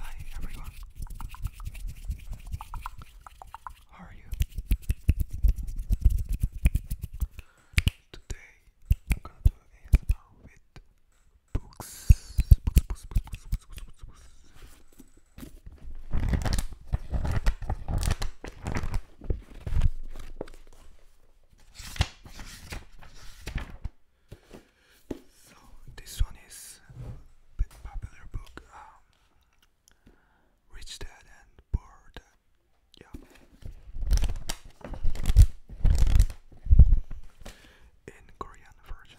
Hi everyone. How are you? Today I'm gonna do ASMR books. So this one is a bit popular book, um, Rich Dad and Poor Dad. Yeah. In Korean version.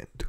and two.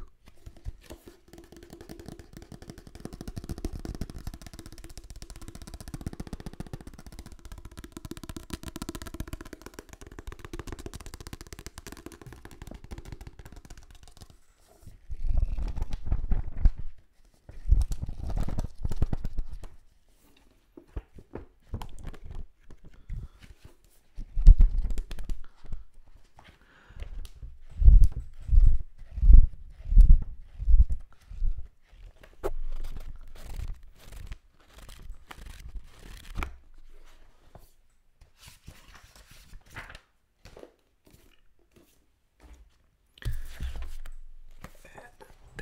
And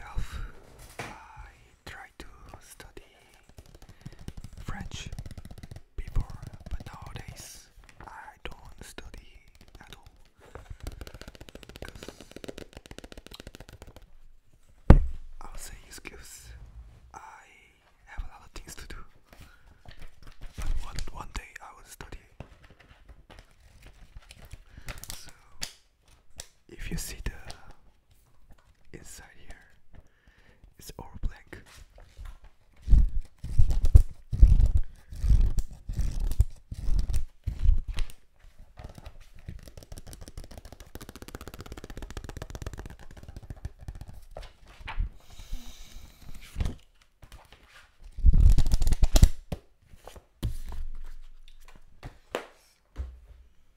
I try to study French before, but nowadays I don't study at all. I'll say excuse. I have a lot of things to do. But one, one day I will study. So if you see the inside here it's all black.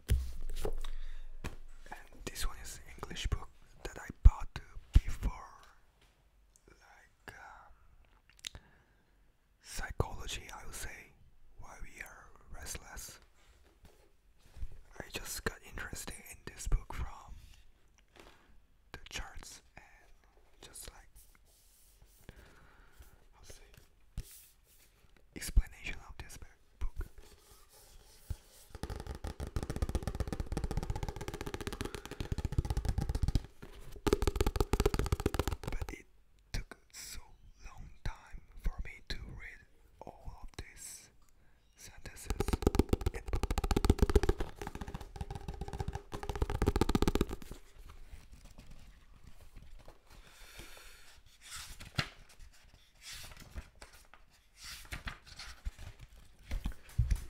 And this one is English book that I bought before, like um, psychology, I would say, why we are restless. I just got interested in this book from the charts and just like I'll say explanation of this book. But it took so long time for me to read all of these sentences.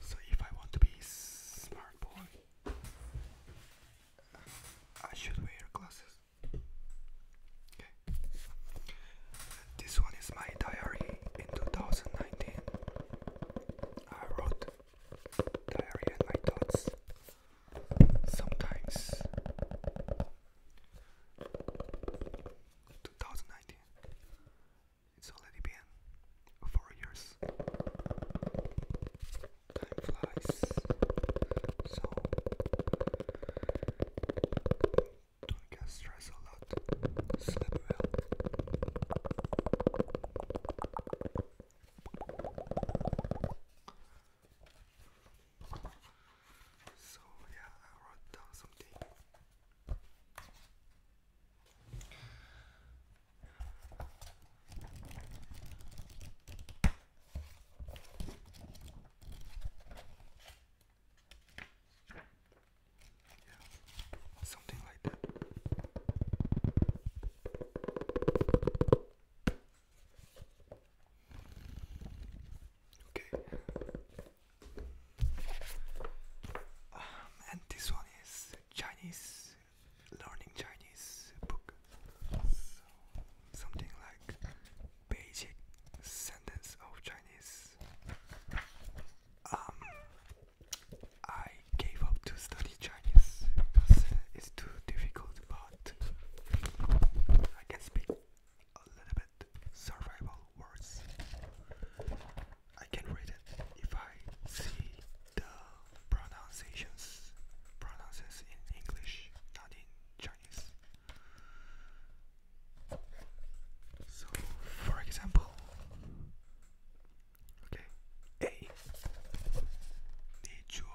So if I want to be smart boy, I should wear glasses. Okay. This one is my diary in 2019. I wrote diary and thoughts. Sometimes 2019. It's already been four years. Time flies. So don't get stressed a Sleep well. So yeah, I wrote down something. Yeah, something like that. Okay. Ah, and this one is Chinese, learning Chinese book. something like basic sentence of Chinese. Um, I gave up to study Chinese it's too difficult, but I can speak a little bit survival words. I can read it if I see the pronunciations pronounces in English, not in Chinese. So, for example, okay, A. 你觉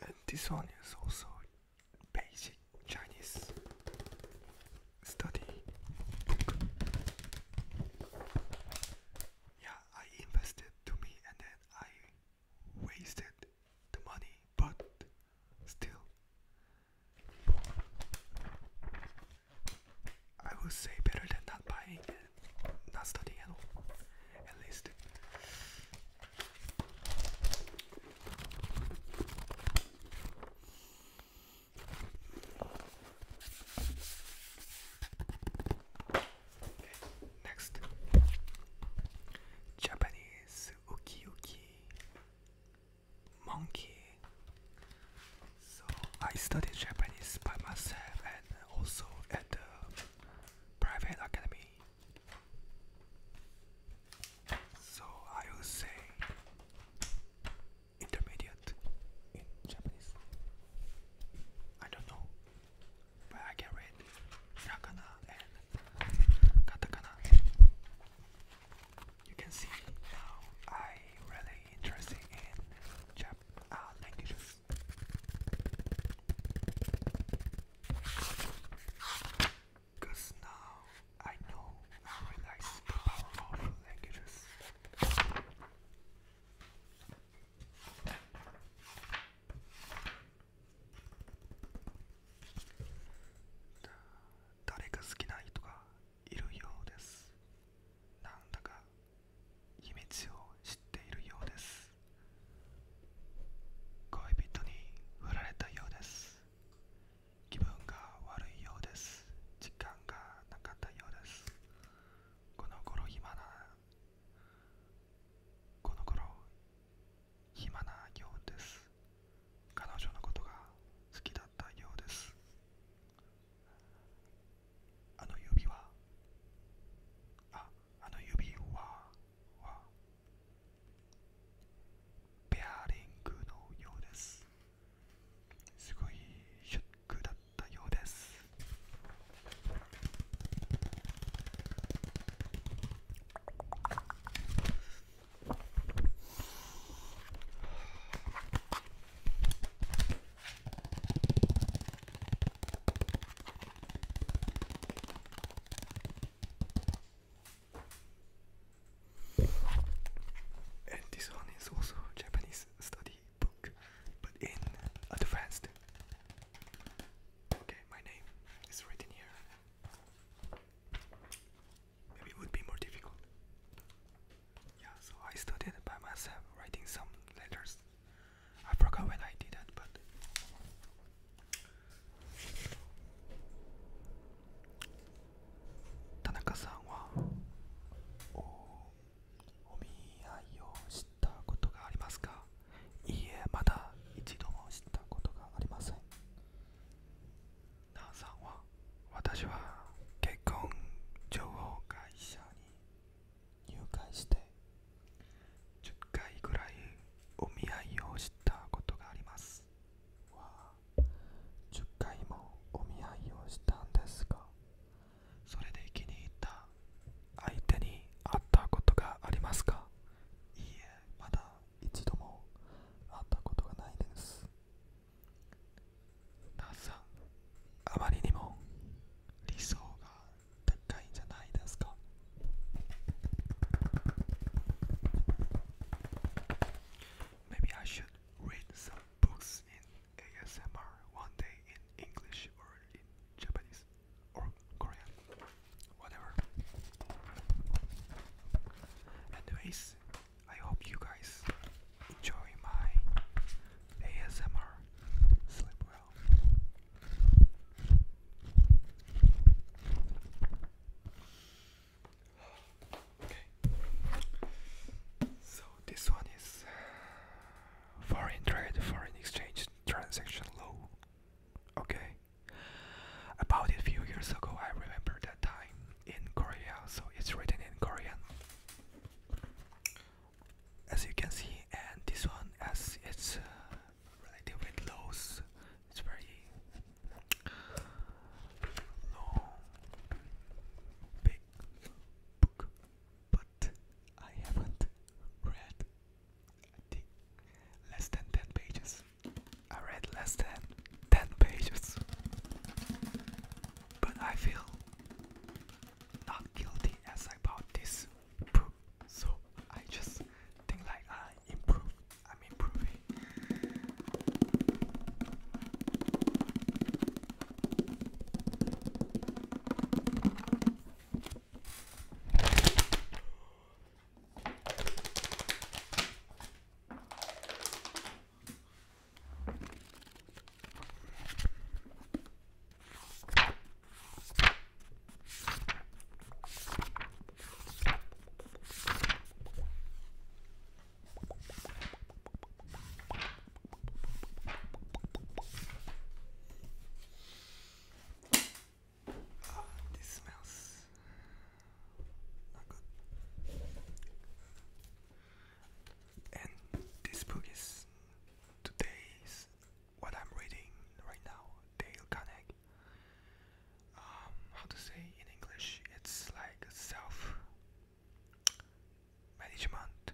And this one is also basic Chinese study book. Yeah, I invested to me and then I wasted the money, but still, I would say better than not buying and not studying At least next Japanese uki monkey. So I studied Japanese by myself and also at the private academy. So I will say intermediate in Japanese. I don't know, but I can read hiragana and katakana. You can see now I really interested in Jap uh, Because now I know and realize the power of languages. Da 誰か好きな人がいるようです。なんだか秘密を知っているようです。恋人に振られたようです気分が悪いようです時間がなかったようですこの頃暇なこの頃暇なようです彼女のことが好きだったようですあの指はああの指ははペアリングのようですすごいショックだったようです And this one is also a Japanese study book, but in advanced. Okay, my name is written here. Maybe would be more difficult. Yeah, so I studied by myself writing some letters. I forgot when I did that, but t a さんはおお見合いをしたことがありますかいいえ、まだ一度もしたことがありません。なあさんは私は結婚情報会社に入会して10回ぐらいお見合いをしたことがあります10回もお見合いをしたんですがそれで気に入った相手に会ったことがありますかいいえまだ一度も会ったことがないですなさんあまりにも理想が高いんじゃないですか Maybe I should read some books in ASMR one day in English or in Japanese or Korean, whatever. Anyways, I hope you guys enjoy my ASMR. Sleep well. Okay. So this one is foreign trade, foreign exchange transaction law. Okay. About a few years ago, I remember that time in Korea, so it's written in Korean as you can see and this one as it's uh, related it's very long big book but I haven't read I think less than 10 pages I read less than 10 pages but I feel not guilty as about this So I just think like I improve. I'm improving. Oh, this smells not good. And this book is today's what I'm reading right now, Dale Carnegie. Um, how to say in English? It's like self management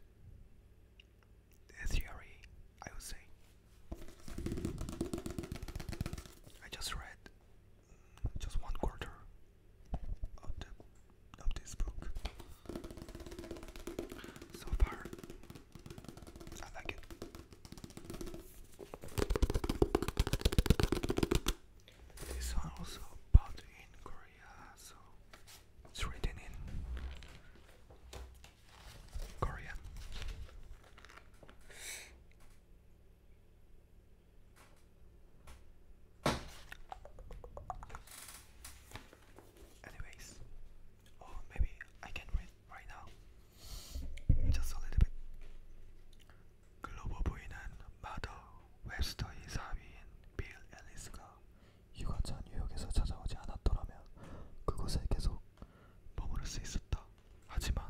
theory, I would say. I just read mm, just one quarter of the of this book. So far, I like it. This one also bought in Korea, so it's written in Korean. Anyways, or oh, maybe I can read right now. Just a little bit. 글로벌 부인은 마더 웹스터의 사위인 빌 앨리스가 휴가차 뉴욕에서 찾아오지 않았더라면 그곳에 계속 머무를 수 있었다. 하지만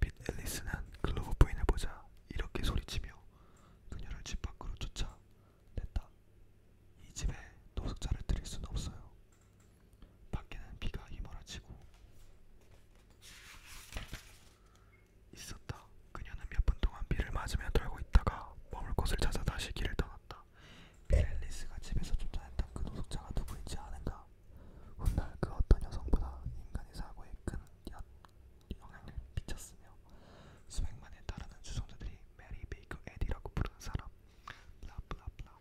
빌 앨리스는 글로벌 부인을 보자 이렇게 소리치며 그녀를 집 밖으로 쫓아 됐다. 이 집에 노숙자를 들일 수는 없어요. 밖에는 비가 휘몰아치고 있었다. 그녀는 몇 분 동안 비를 맞으며 돌고 있다가 머물 곳을 찾아 다시 길을 떠났다. 빌앨리스가 집에서 쫓아냈던 그 노숙자가 누구인지 아는가? 훗날 그 어떤 여성보다 인간의 사고에 큰 영향을 미쳤으며 수백만에 달하는 추종자들이 메리 베이커 에디라고 부르는 사람 블라블라블라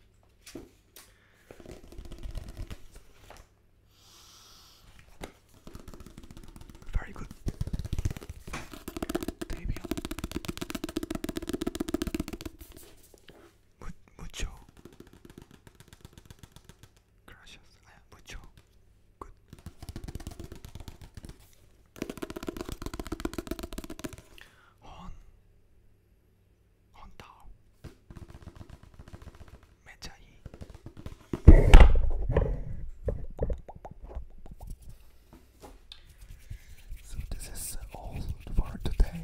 Very good. 데이비언. 무, 무초. Gracias. 아, 무초. Good. Hon. So this is all for today.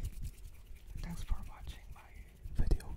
Thanks for watching my video.